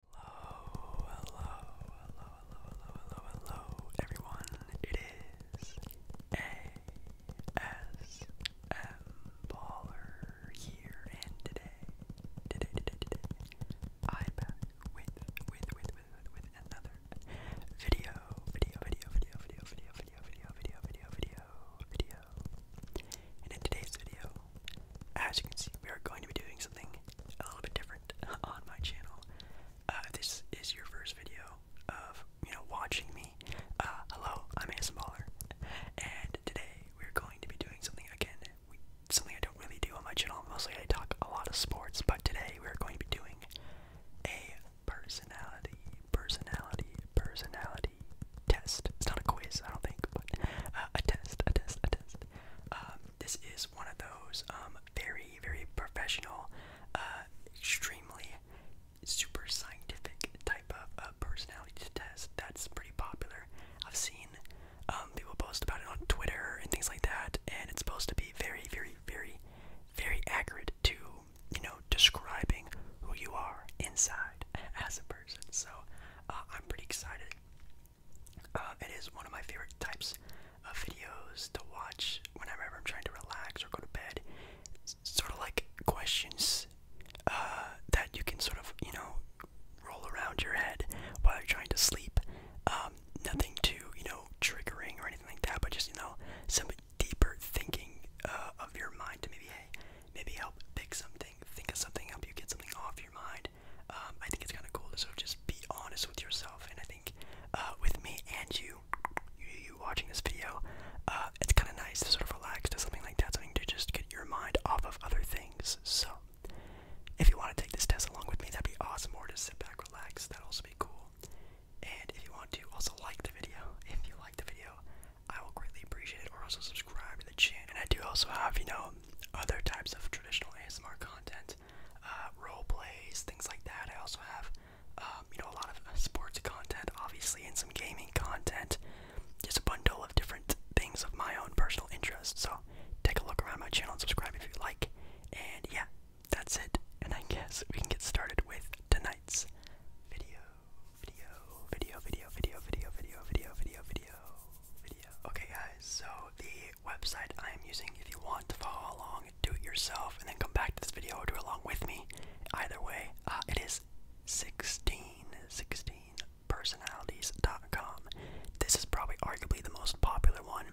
Hello, hello, hello, hello, hello, hello, hello, everyone. It is ASM Baller here, and today, today, today, today, I'm back with, with, with, with, with, another video, video, video, video, video, video, video, video, video, video, video, video. And in today's video, as you can see, we are going to be doing something a little bit different on my channel. Uh, this is your first video of you know watching me, uh, hello, I'm Baller, and today we're going to be doing something again, something I don't really do on my channel. Mostly I talk a lot of sports, but today we're going to be doing a personality, personality, personality test. It's not a quiz, I don't think, but uh, a test, a test, a test podcast. Um, this is one of those um, very, very professional, uh, extremely super scientific type of uh, personality test that's pretty popular. I've seen um, people post about it on Twitter and things like that, and it's supposed to be very, very, very, very accurate to you know describing who you are inside as a person. So uh, I'm pretty excited um, it is one of my favorite types of videos to watch whenever I'm trying to relax or go to bed. It's sort of like questions uh, that you can sort of, you know, roll around your head while you're trying to sleep. Um, nothing too, you know, triggering or anything like that, but just, you know, some deeper thinking uh, of your mind to maybe, maybe help pick something, think of something, help you get something off your mind. Um, I think it's kind of cool to just be honest with yourself, and I think uh, with me and you, you, watching this video, uh, it's kind of nice to sort of relax to something like that, something to just get your mind off of other things. So, if you want to take this test along with me, that'd be awesome, or just sit back, relax, that'd also be cool. And if you want to, also like the video. If you like the video, I will greatly appreciate it, or also subscribe to the channel. And I do also have, you know, other types of traditional ASMR content, uh, role plays, things like that. I also have, um, you know, a lot of uh, sports content, obviously, and some gaming content. Just a bundle of different things of my own personal interest. So take a look around my channel and subscribe if you like. And yeah, that's it. And I guess we can get started with tonight's video. Video, video, video, video, video, video, video, video, video, video. Okay, guys, so the website I am using. If you want to follow along, do it yourself, and then come back to this video or do it along with me. Either way, uh, it is 16, 16 personalities.com. This is probably arguably the most popular one.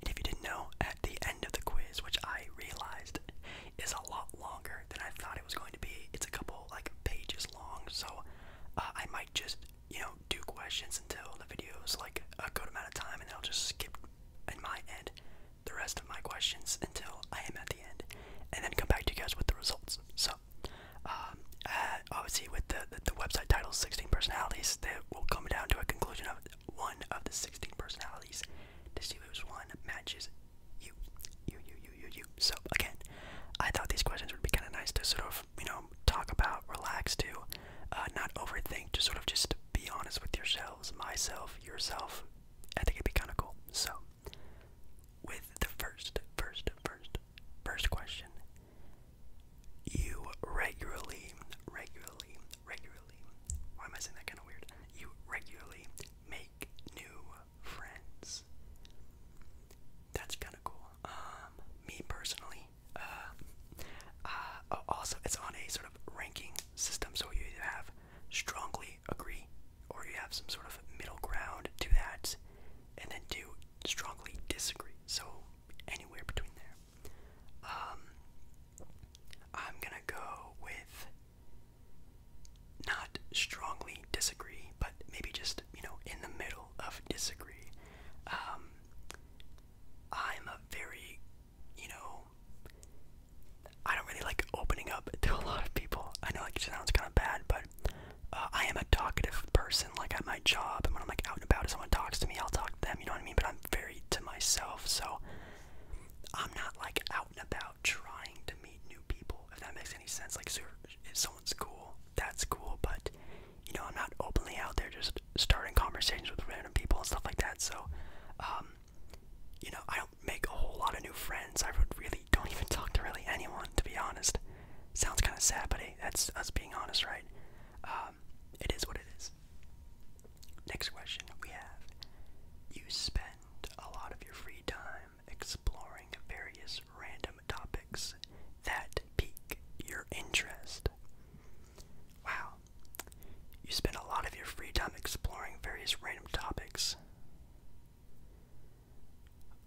And if you didn't know, at the end of the quiz, which I realized is a lot longer than I thought it was going to be, it's a couple like pages long. So uh, I might just you know, do questions until the video is like a good amount of time, and I'll just skip at my end the rest of my questions until I am at the end, and then come back to you guys with the results. So, um, uh, obviously, with the, the, website title 16 personalities, that will come down to a conclusion of one of the 16 personalities to see which one matches you. You, you, you, you, you. So, again, I thought these questions would be kind of nice to sort of you know, talk about, relax to, uh, not overthink, just sort of just be honest with yourselves, myself, yourself. I think it'd be kind of cool. So, with the first, first, first, first question, you regularly, regularly, regularly, why am I saying that kind of weird? You regularly make new friends. That's kind of cool. Um, me personally, uh, uh, also, it's on a sort of ranking system, so you either have strongly agree, or you have some sort of middle ground to that, and then do strongly disagree. So anywhere between there. Um, I'm gonna go with not strongly disagree, but maybe just you know in the middle of disagree. Um, I'm a very, you know, I don't really like opening up to a lot of people. I know like, it sounds kind of bad, but uh, I am a talkative person. Like at my job, and when I'm like out and about, if someone talks to me, I'll talk to them. You know what I mean? But I'm very to myself, so I'm not like out and about trying to meet new people. If that makes any sense. Like, if someone's cool, that's cool. But you know, I'm not openly out there just starting conversations with random people and stuff like that. So, um, you know, I don't make a whole lot of new friends. I really don't even talk to really anyone, to be honest. Sounds kind of sad, but that's us being honest, right? Um, it is what it is. Next question we have You spend a lot of your free time exploring various random topics that pique your interest. Wow, you spend a lot of your free time exploring various random topics.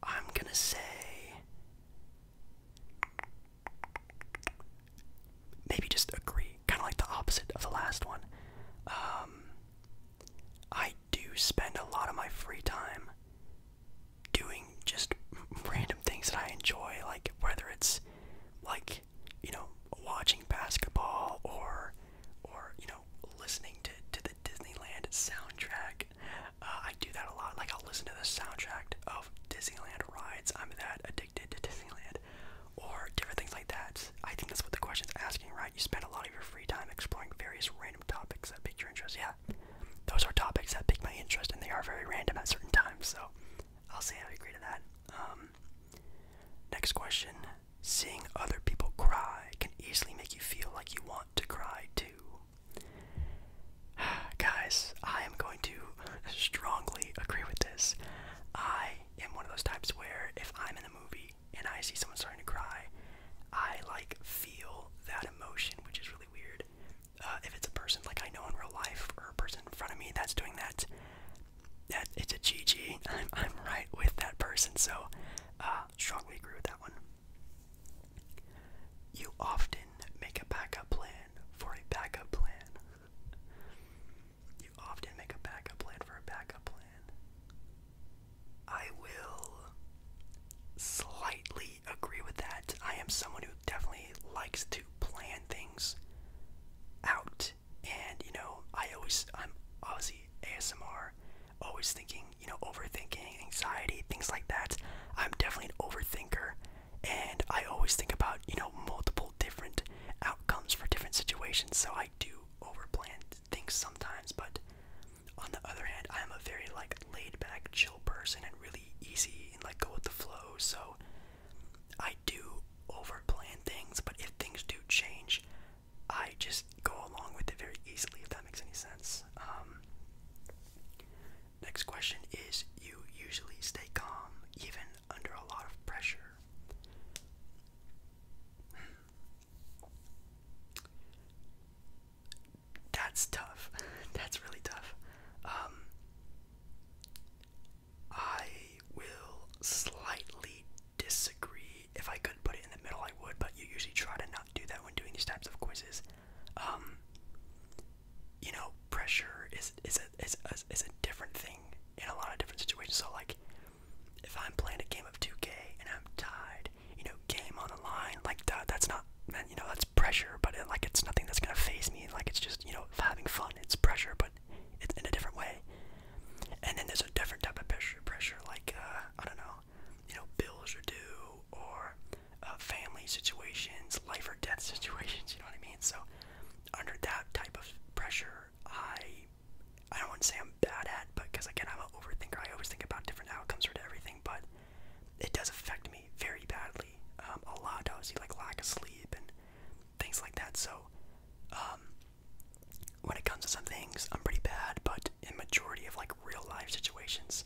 I'm gonna say maybe just agree, kind of like the opposite of the last one. Um, I do spend a lot of my free time doing just random things that I enjoy, like whether it's like you know watching basketball or or you know listening to to the Disneyland soundtrack. Uh, I do that a lot. Like I'll listen to the soundtrack of Disneyland rides. I'm that addicted to Disneyland, or different things like that. I think that's what the question's asking, right? You spend a lot of your free time exploring various random topics that pique your interest. Yeah, those are topics that pique my interest, and they are very random at certain times. So I'll see how I agree to that. Um, next question: Seeing other people cry can easily make you feel like you want to cry too. Guys, I am going to strongly agree with this. I am one of those types where if I'm in a movie and I see someone starting to cry, I like feel that emotion, which is really weird. Uh, if it's a person like I know in real life or a person in front of me that's doing that, that it's a GG. I'm I'm right with that person, so uh, strongly agree with that one. You often make a backup plan for a backup plan. You often make a backup plan for a backup plan. I will slightly agree with that. I am someone who definitely likes to plan things out, and you know, I always, I'm obviously ASMR, always thinking, you know, overthinking, anxiety, things like that. I'm definitely an overthinker, and I always think about, you know, multiple different outcomes for different situations, so I do overplan things sometimes, but on the other hand, I'm a very like laid back, chill person, really easy and like go with the flow. So I do overplan things, but if things do change, I just go along with it very easily. If that makes any sense. Um, next question is: You usually stay calm even under a lot of pressure that's tough. that's really tough. Um, I will slightly disagree. If I could put it in the middle, I would, but you usually try to not do that when doing these types of quizzes. Um, you know, pressure is is a is a, is a different thing in a lot of different situations. So like, if I'm playing a game of 2K and I'm tied, you know, game on the line, like that, that's not not and you know that's pressure but it, like it's nothing that's gonna phase me like it's just you know having fun it's pressure but it's in a different way and then there's a different type of pressure pressure like uh, i don't know you know bills are due or uh, family situations life or death situations you know what i mean so under that type of pressure i i don't want to say i'm bad at but because again i'm an overthinker i always think about different outcomes for everything but it does affect me very badly um, a lot does. obviously like lack of sleep and things like that so um, when it comes to some things i'm pretty bad but in majority of like real life situations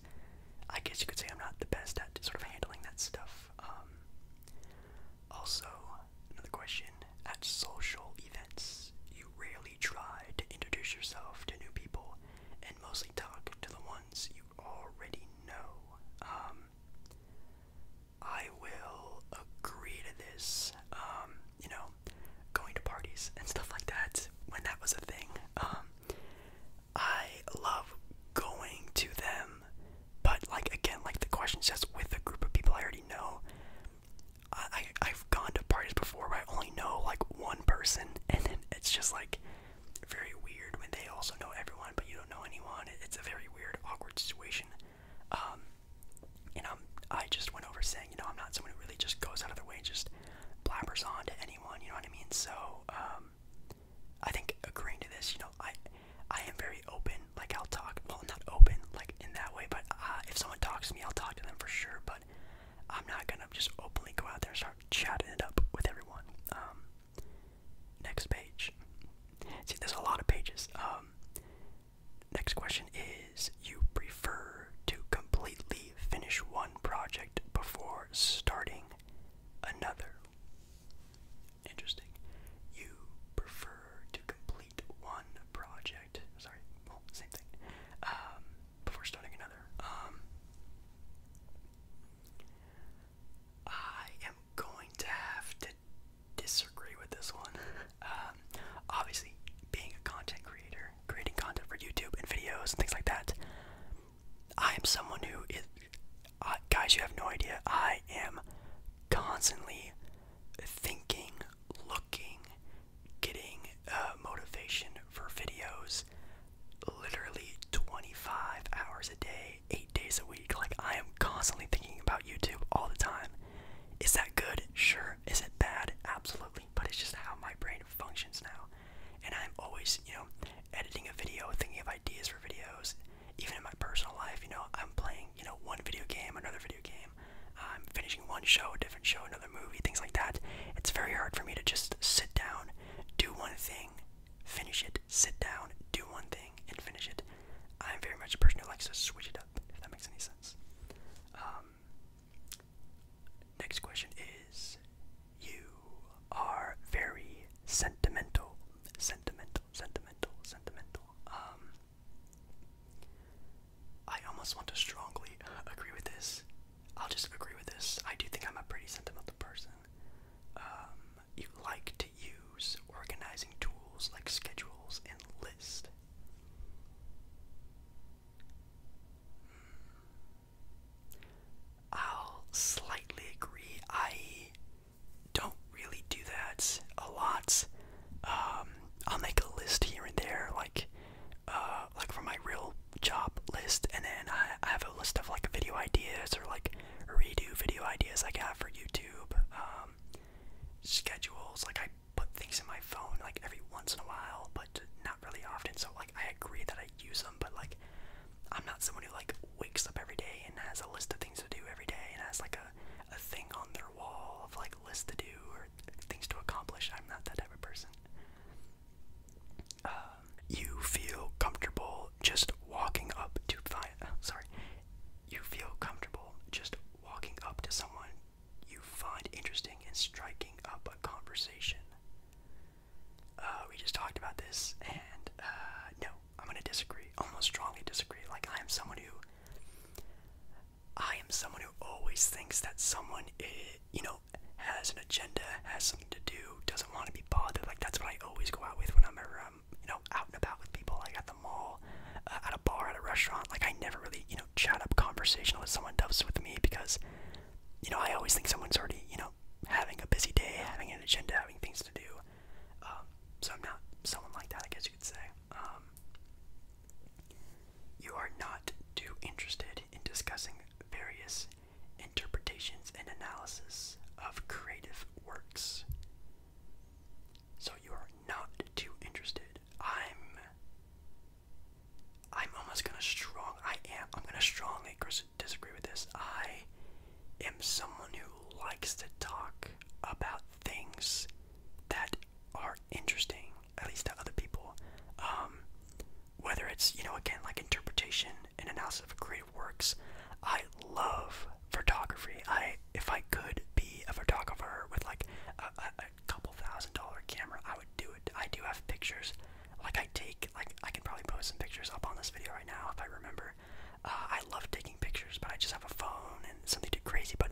i guess you could say i'm not the best at sort of handling that stuff um, also another question at social events you rarely try to introduce yourself to new people and mostly talk to the ones ones you already know. Um, I will agree to this. Um, you know, going to parties and stuff like that when that was a thing. Um, I love going to them, but like again, like the question says, with a group of people I already know. I, I've gone to parties before where I only know like one person, and then it's just like very weird when they also know everyone but you don't know anyone. It's a very weird, awkward situation. Um, and I'm, I just went over saying, you know, I'm not someone who really just goes out of their way and just blabbers on to anyone. You know what I mean? So um, I think agreeing to this, you know, I I am very open. Like I'll talk. Well, not open like in that way, but uh, if someone talks to me, I'll talk to them for sure. But I'm not gonna just openly go out there and start chatting it up with everyone. Um, Next page. See, there's a lot of pages. Um, next question is You prefer to completely finish one project before starting another? Interesting. You prefer to complete one project. Sorry, well, same thing. Um, before starting another. Um, I am going to have to disagree with this one. Um, obviously, being a content creator, creating content for YouTube and videos and things like that, I am someone who is. guys, you have no idea. I am constantly thinking, looking, getting uh, motivation for videos literally 25 hours a day, eight days a week. Like, I am constantly thinking about YouTube all the time. Is that good? Sure. Is it bad? Absolutely. But it's just how my brain functions now. And I'm always, you know, editing a video, thinking of ideas for videos. Even in my personal life, you know, I'm playing, you know, one video game, another video game. I'm finishing one show, a different show, another movie, things like that. It's very hard for me to just sit down, do one thing, finish it, sit down, do one thing, and finish it. I'm very much a person who likes to switch it up, if that makes any sense. Um, next question is You are very sentimental. Sentimental, sentimental, sentimental. Um, I almost want to strongly agree with this. I'll just agree with this. I do think I'm a pretty sentimental person person. Um, you like to use organizing tools like schedules and lists. Hmm. I'll slightly agree. I don't really do that a lot. Um, I'll make a list here and there, like, uh, like for my real job list, and then I have a list of like video ideas or like redo video ideas I have for YouTube, um, schedules. Like I put things in my phone like every once in a while, but not really often. So like I agree that I use them, but like I'm not someone who like wakes up every day and has a list of things to do every day and has like a, a thing on their wall of like list to do or things to accomplish. I'm not that type of person. Uh, you feel comfortable just walking up to find. Uh, sorry, you feel comfortable just walking up to someone you find interesting and striking up a conversation. Uh, we just talked about this, and uh, no, I'm gonna disagree. Almost strongly disagree. Like I am someone who, I am someone who always thinks that someone, eh, you know, has an agenda, has something to do, doesn't want to be bothered. Like that's what I always go out with whenever I'm, um, you know, out and about with people. Like at the mall, uh, at a bar, at a restaurant. Like I never really, you know, chat up conversational with someone does with me because, you know, I always think someone's already, you know, having a busy day, having an agenda, having things to do. Um, so I'm not someone like that. I guess you could say. Um, you are not too interested in discussing various interpretations and analysis of creative works. So you are not too interested. I'm I'm almost gonna strong I am I'm gonna strongly disagree with this. I am someone who likes to talk about things that are interesting, at least to other people. Um whether it's, you know, again like interpretation and analysis of creative works. I love photography. I, if I could be a photographer with like a, couple thousand dollar camera, I would do it. I do have pictures. Like I take, like I can probably post some pictures up on this video right now if I remember. Uh, I love taking pictures, but I just have a phone and something too crazy. But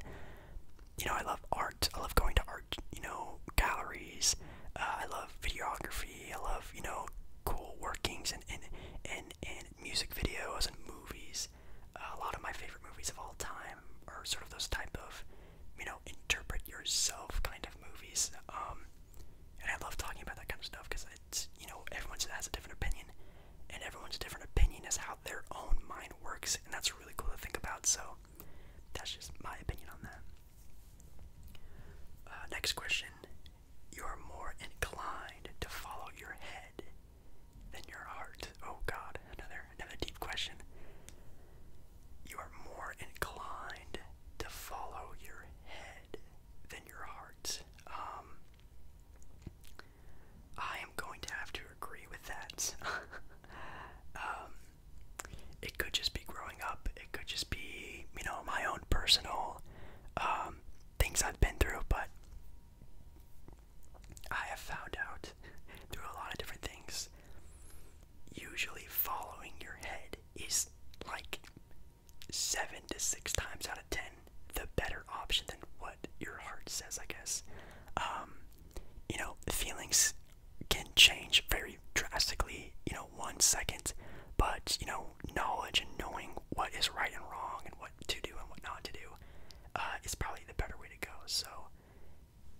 you know, I love art. I love going to art, you know, galleries. Uh, I love videography photography. I love you know cool workings and and and, and music videos and movies. Uh, a lot of my favorite movies of all time are sort of those type of you know interpret yourself kind of movies. Um, and I love talking about that kind of stuff because it's you know everyone has a different opinion, and everyone's different opinion is how their own mind works, and that's really cool to think about. So that's just my opinion on that. Uh, next question you are more inclined to follow your head than your heart. Oh God, another another deep question. You are more inclined to follow your head than your heart. Um, I am going to have to agree with that. um, it could just be growing up it could just be, you know, my own personal um, things I've been through, but I have found out through a lot of different things. Usually, following your head is like seven to six times out of ten the better option than what your heart says, I guess. Um, you know, feelings can change very drastically, you know, one second. But, you know, knowledge and knowing what is right and wrong and what to do and what not to do uh, is probably the better way to go. So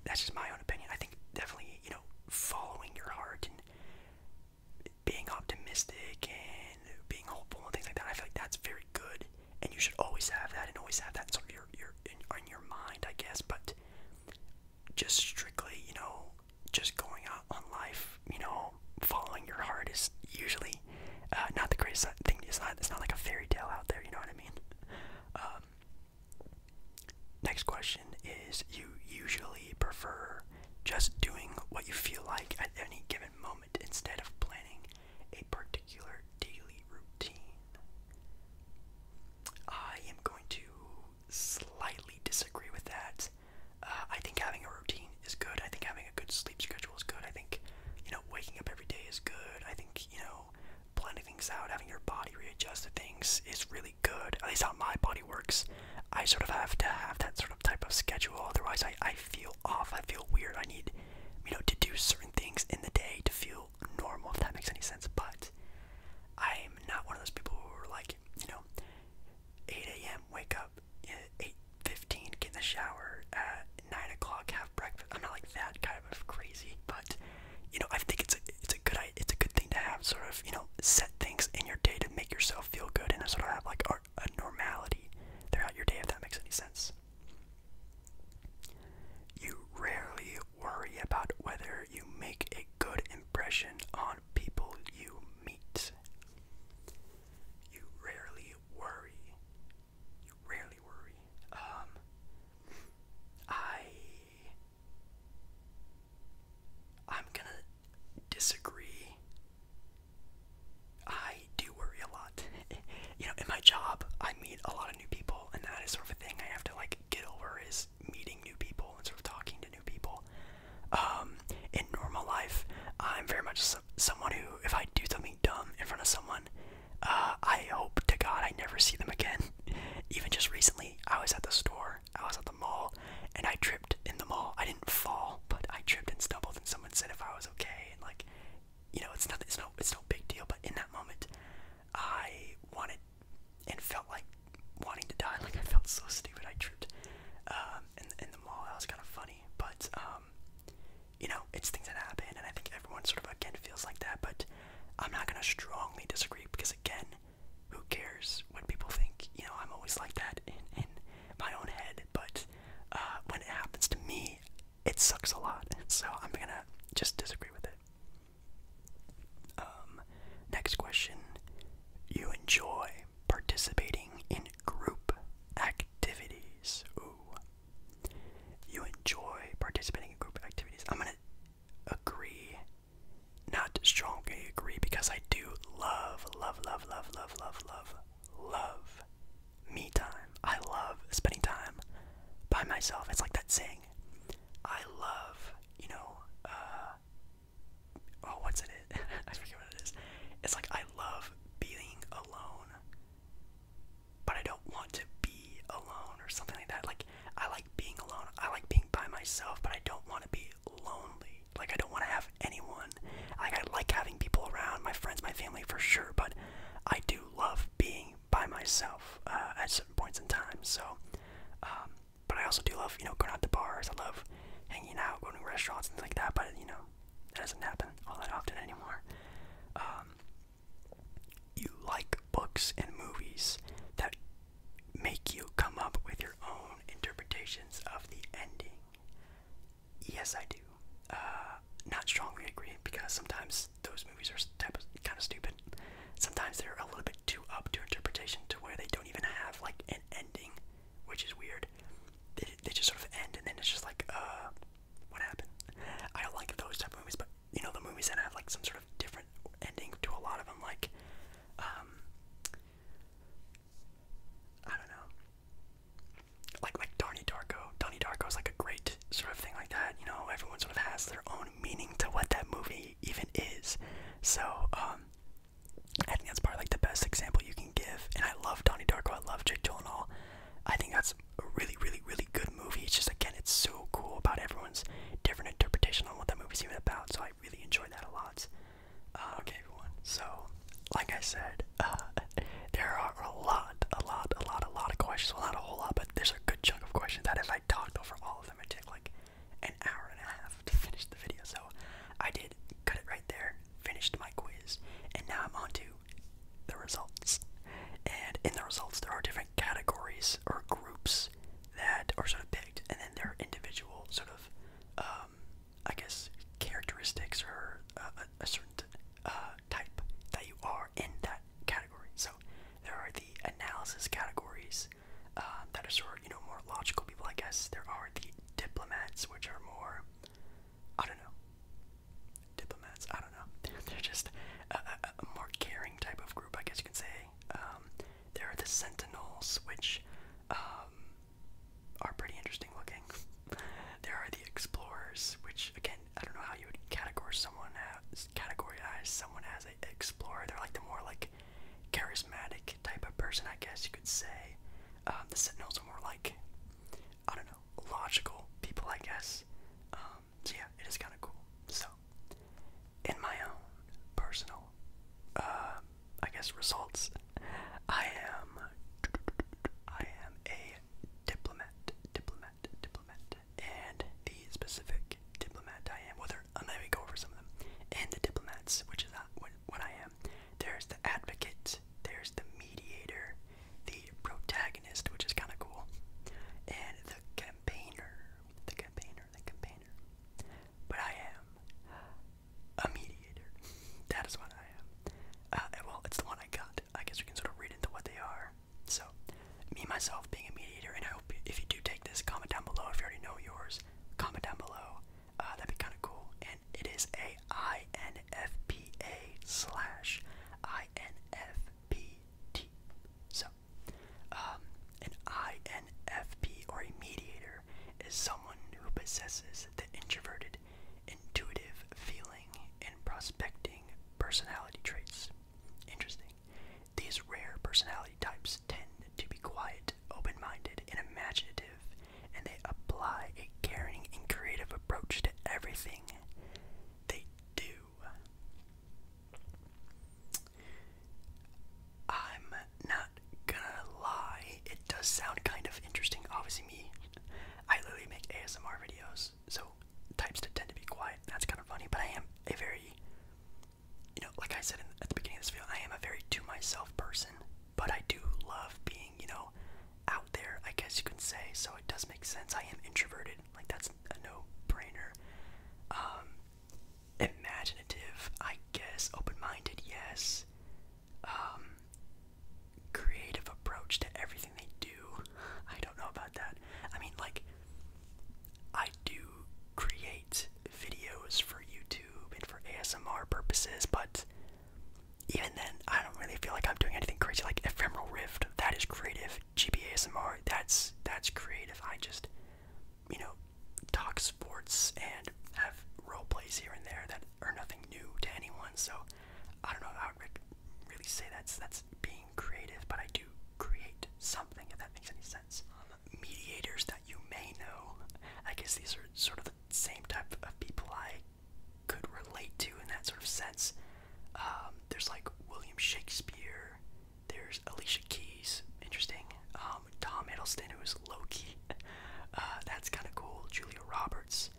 that's just my own opinion. I think definitely, you know, following your heart and being optimistic and being hopeful and things like that, I feel like that's very good. And you should always have that and always have that sort of your, your, in your mind, I guess. But just strictly, you know, just going out on life, you know, following your heart is usually uh, not the greatest thing. It's not. It's not like a fairy tale out there. You know what I mean? Um, next question is: You usually prefer just doing what you feel like at any given moment instead of planning a particular daily routine. I am going to slightly disagree with that. Uh, I think having a routine is good. I think having a good sleep schedule is good. I think, you know, waking up every day is good. I think, you know, planning things out, having your body readjust to things is really good. At least how my body works. I sort of have to have that sort of type of schedule. Otherwise, I, I feel off. I feel weird. I need, you know, to do certain things in the day to feel normal, if that makes any sense. But I'm not one of those people who are like, you know, 8 a.m. Wake up at 8:15. Get in the shower at 9 o'clock. Have breakfast. I'm not like that kind of crazy, but you know I think it's a it's a good it's a good thing to have sort of you know set things in your day to make yourself feel good and sort of have like a normality throughout your day if that makes any sense. You rarely worry about whether you make a good impression on people you meet. You rarely worry. You rarely worry. Um, I, I'm gonna disagree. I do worry a lot. you know, in my job, I meet a lot of new people, and that is sort of a thing I have to like get over is meeting new people and sort of talking to new people. Um, in normal life, I'm very much someone who, if I do something dumb in front of someone, uh, I hope to God I never see them again. Even just recently, I was at the store, I was at the mall, and I tripped in the mall. I didn't fall, but I tripped and stumbled, and someone said if I was okay, and like, you know, it's nothing, it's no, it's no big deal. But in that moment, I wanted and felt like wanting to die. Like I felt so stupid. I tripped um, in, in the mall. That was kind of funny. But um, you know, it's things that happen, and I think everyone sort of again feels like that. But I'm not gonna strongly disagree because again, who cares what people think? You know, I'm always like that in in my own head. But uh, when it happens to me, it sucks a lot. So I'm gonna just disagree with it. Um, next question. You enjoy participating in group activities. Ooh. You enjoy participating in group activities. I'm gonna agree. Not strongly agree because I do love, love, love, love, love, love, love, love me time. I love spending time by myself. It's like that saying. I love, you know, uh, oh what's it I forget what it is. It's like I love being alone but I don't want to be alone or something like that. Like I like being alone. I like being by myself, but I don't want to be lonely. Like I don't want to have anyone. Like I like having people around, my friends, my family for sure, but I do love being by myself uh, at certain points in time. So um, but I also do love, you know, going out to bars. I love hanging out, going to restaurants, things like that. But you know, that doesn't happen all that often anymore. Um, you like books and movies that make you come up with your own interpretations of the ending. Yes, I do. Uh, not strongly agree because sometimes those movies are kind of stupid. Sometimes they're a little bit too up to interpretation to where they don't even have like an ending which is weird. They, they just sort of end, and then it's just like, uh, what happened? I don't like those type of movies, but you know the movies that have like some sort of different ending to a lot of them, like, um, I don't know, like like Donnie Darko. Donnie Darko is like a great sort of thing like that. You know, everyone sort of has their own meaning to what that movie even is. So, um, I think that's probably like the best example you can give. And I love Donnie Darko. I love Jake Gyllenhaal. I think that's a really, really, really good movie. It's just again, it's so cool about everyone's different interpretation on what that movie's even about. So I really enjoy that a lot. Uh, okay, everyone. So, like I said, uh, there are a lot, a lot, a lot, a lot of questions. not a whole lot, but there's a good chunk of questions that if I talked over all of them, it'd take like an hour and a half to finish the video. So I did cut it right there, finished my quiz, and now I'm on to the results. And in the results, there are different categories or groups that are sort of picked, and then there are individual sort of, um, I guess, characteristics or a, certain uh, type that you are in that category. So there are the analysis categories, uh, that are sort you know, more logical people, I guess. There are the diplomats, which are more, I don't know, diplomats, I don't know. They're just a, more caring type of group, I guess you can say. Um, there are the sentinels, which um, are pretty interesting looking. there are the explorers, which, again, I don't know how you would categorize someone as, categorize someone as an explorer. They're like the more, like, charismatic type of person, I guess you could say. Um, the Sentinels are more like, I don't know, logical people, I guess. Um, so yeah, it is kind of cool. So, in my own personal, um, I guess results, I am, I am a diplomat, diplomat, diplomat, and the specific diplomat I am. Whether I'm go over some of them, and the diplomats, which is what I am. There's the advocate, there's the mediator, the protagonist, which is kind of cool, and the campaigner. The campaigner, the campaigner. But I am a mediator. That is what I am. Uh, well, it's the one I got. I guess we can sort of read into what they are. So, me, myself, being a mediator, and I hope if you do take this, comment down below if you already know yours. Comment down below uh, that'd be kind of cool. And it is a INFPA slash INFPT. So, um, an INFP or a mediator is someone who possesses the introverted, intuitive feeling, and prospecting personality traits. Interesting. These rare personality types tend to be quiet, open minded, and imaginative, and they apply a caring and creative approach to everything they do. I'm not gonna lie, it does sound kind of interesting. Obviously, me, I literally make ASMR videos, so types that tend to be quiet, that's kind of funny, but I am a very you know, like I said at the beginning of this video, I am a very to myself person but I do love being, you know, out there, I guess you can say, so it does make sense. I am introverted, like, that's a no brainer. Um, imaginative, I guess, open minded, yes. Um, creative approach to everything they do, I don't know about that. I mean, like, I do create videos for YouTube and for ASMR purposes, but even then, I don't really feel like I'm doing anything crazy. Like Ephemeral Rift, that is creative. GBASMR, that's that's creative. I just, you know, talk sports and have role plays here and there that are nothing new to anyone. So I don't know how I really say that's that's being creative, but I do create something if that makes any sense mediators that you may know. I guess these are sort of the same type of people I could relate to in that sort of sense. Um, there's like William Shakespeare, there's Alicia Keys, interesting. Um, Tom Hiddleston, who's Loki, uh, that's kind of cool. Julia Roberts,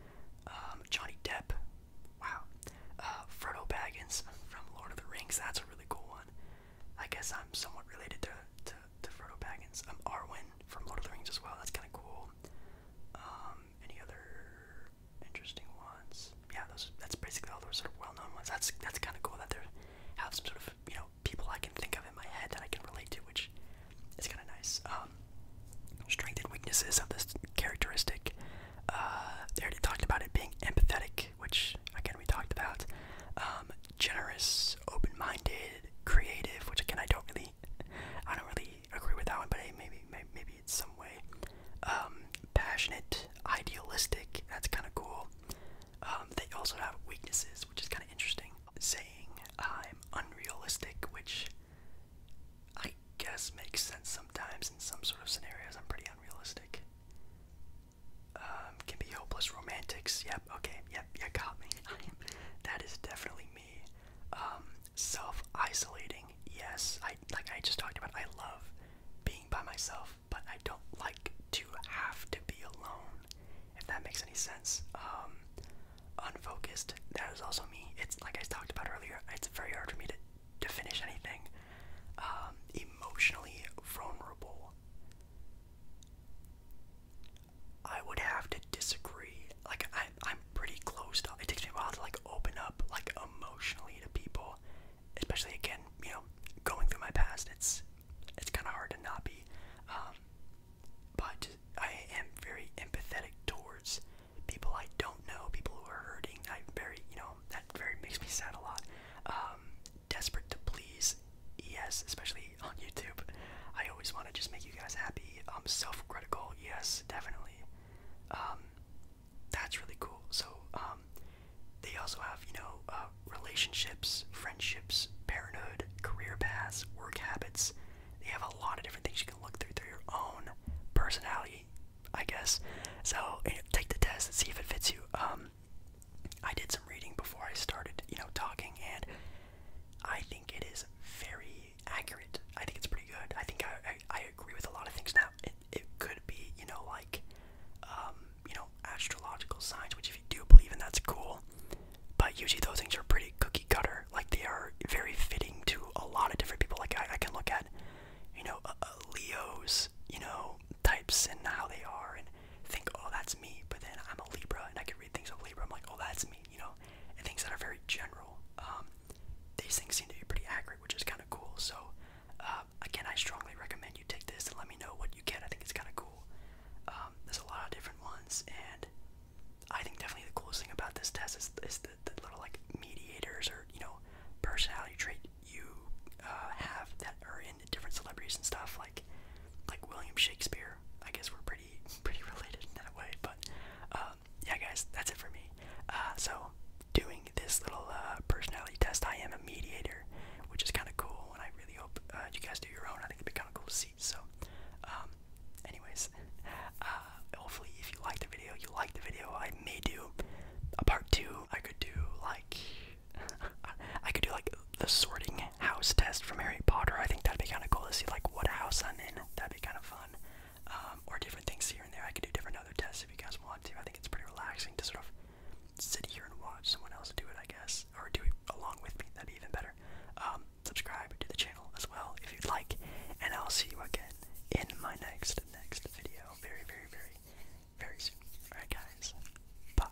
um, Johnny Depp, wow. Uh, Frodo Baggins from Lord of the Rings, that's a really cool one. I guess I'm somewhat related to, to, to Frodo Baggins. Um, Arwen from Lord of the Rings as well. That's kind of cool. Um, any other interesting ones? Yeah, those. That's basically all those sort of well-known ones. That's that's kind of cool that there have some sort of you know people I can think of in my head that I can relate to, which is kind of nice. Um, strength and weaknesses of this characteristic. Uh, they already talked about it being empathetic, which again we talked about. Um, generous, open-minded, creative, which again I don't really, I don't really agree with that one, but hey, maybe, maybe, maybe it's some way. Um, passionate, idealistic. That's kind of cool. Um, they also have weaknesses, which is kind of interesting. Saying I'm unrealistic, which I guess makes sense sometimes in some sort of scenarios. I'm pretty unrealistic. Um, can be hopeless romantics. Yep. Okay. Yep. You got me that is definitely me. Um, self-isolating, yes. I like I just talked about. I love being by myself, but I don't like to have to be alone. If that makes any sense. Um, unfocused. That is also me. It's like I talked about earlier. It's very hard for me to to finish anything. Um, emotionally vulnerable. I would have to disagree. Like I, I'm pretty closed off. It takes me a while to like open up like emotionally to people, especially again, you know, going through my past. It's it's kind of hard to not be. Um, but I am very empathetic towards people I don't know, people who are hurting. I very, you know, that very makes me sad a lot. Um, desperate to please, yes, especially on YouTube. I always want to just make you guys happy. I'm um, self-critical, yes, definitely. Um, that's really cool. So um, they also have, you know, uh, relationships, friendships, parenthood, career paths, work habits. They have a lot of different things you can look through through your own personality, I guess. So eh, take the test and see if it fits you. I did some reading before I started, you know, talking, and I think it is very accurate. I think it's pretty good. I think I I, I agree with a lot of things. Now it it could be you know like um, you know astrological signs, which if you do believe in, that's cool. But usually those things are pretty cookie cutter. Like they are very fitting to a lot of different people. Like I, I can look at you know uh, uh, Leo's you know types and how they are and think, oh, that's me, but then I'm a Libra and I can read things of Libra. I'm like, oh, that's me, you know? And things that are very general. Um, these things seem to be pretty accurate, which is kind of cool. So, uh, again, I strongly recommend you take this and let me know what you get. I think it's kind of cool. Um, there's a lot of different ones, and I think definitely the coolest thing about this test is, is the, the little like mediators or you know personality trait you uh, have that are in different celebrities and stuff like like William Shakespeare. I guess we're pretty pretty related in that way. But um, yeah, guys, that's it for me. Uh, so doing this little uh, personality test, I am a mediator, which is kind of cool, and I really hope uh, you guys do your own. I think it'd be kind of cool to see. So, um, anyways, hopefully, if you like the video, you like the video. I may do a part two. I could do like I could do like the sorting house test from Harry Potter. I think that'd be kind of cool to see like what house I'm in. That'd be kind of fun. Um, or different things here and there. I could do different other tests if you guys want to. I think it's pretty relaxing to sort of sit here and watch someone else do it, I guess, or do it along with me. That'd be even better. Um, subscribe to the channel as well if you'd like, and I'll see you again in my next next video very very very very soon. All right, guys. Bye.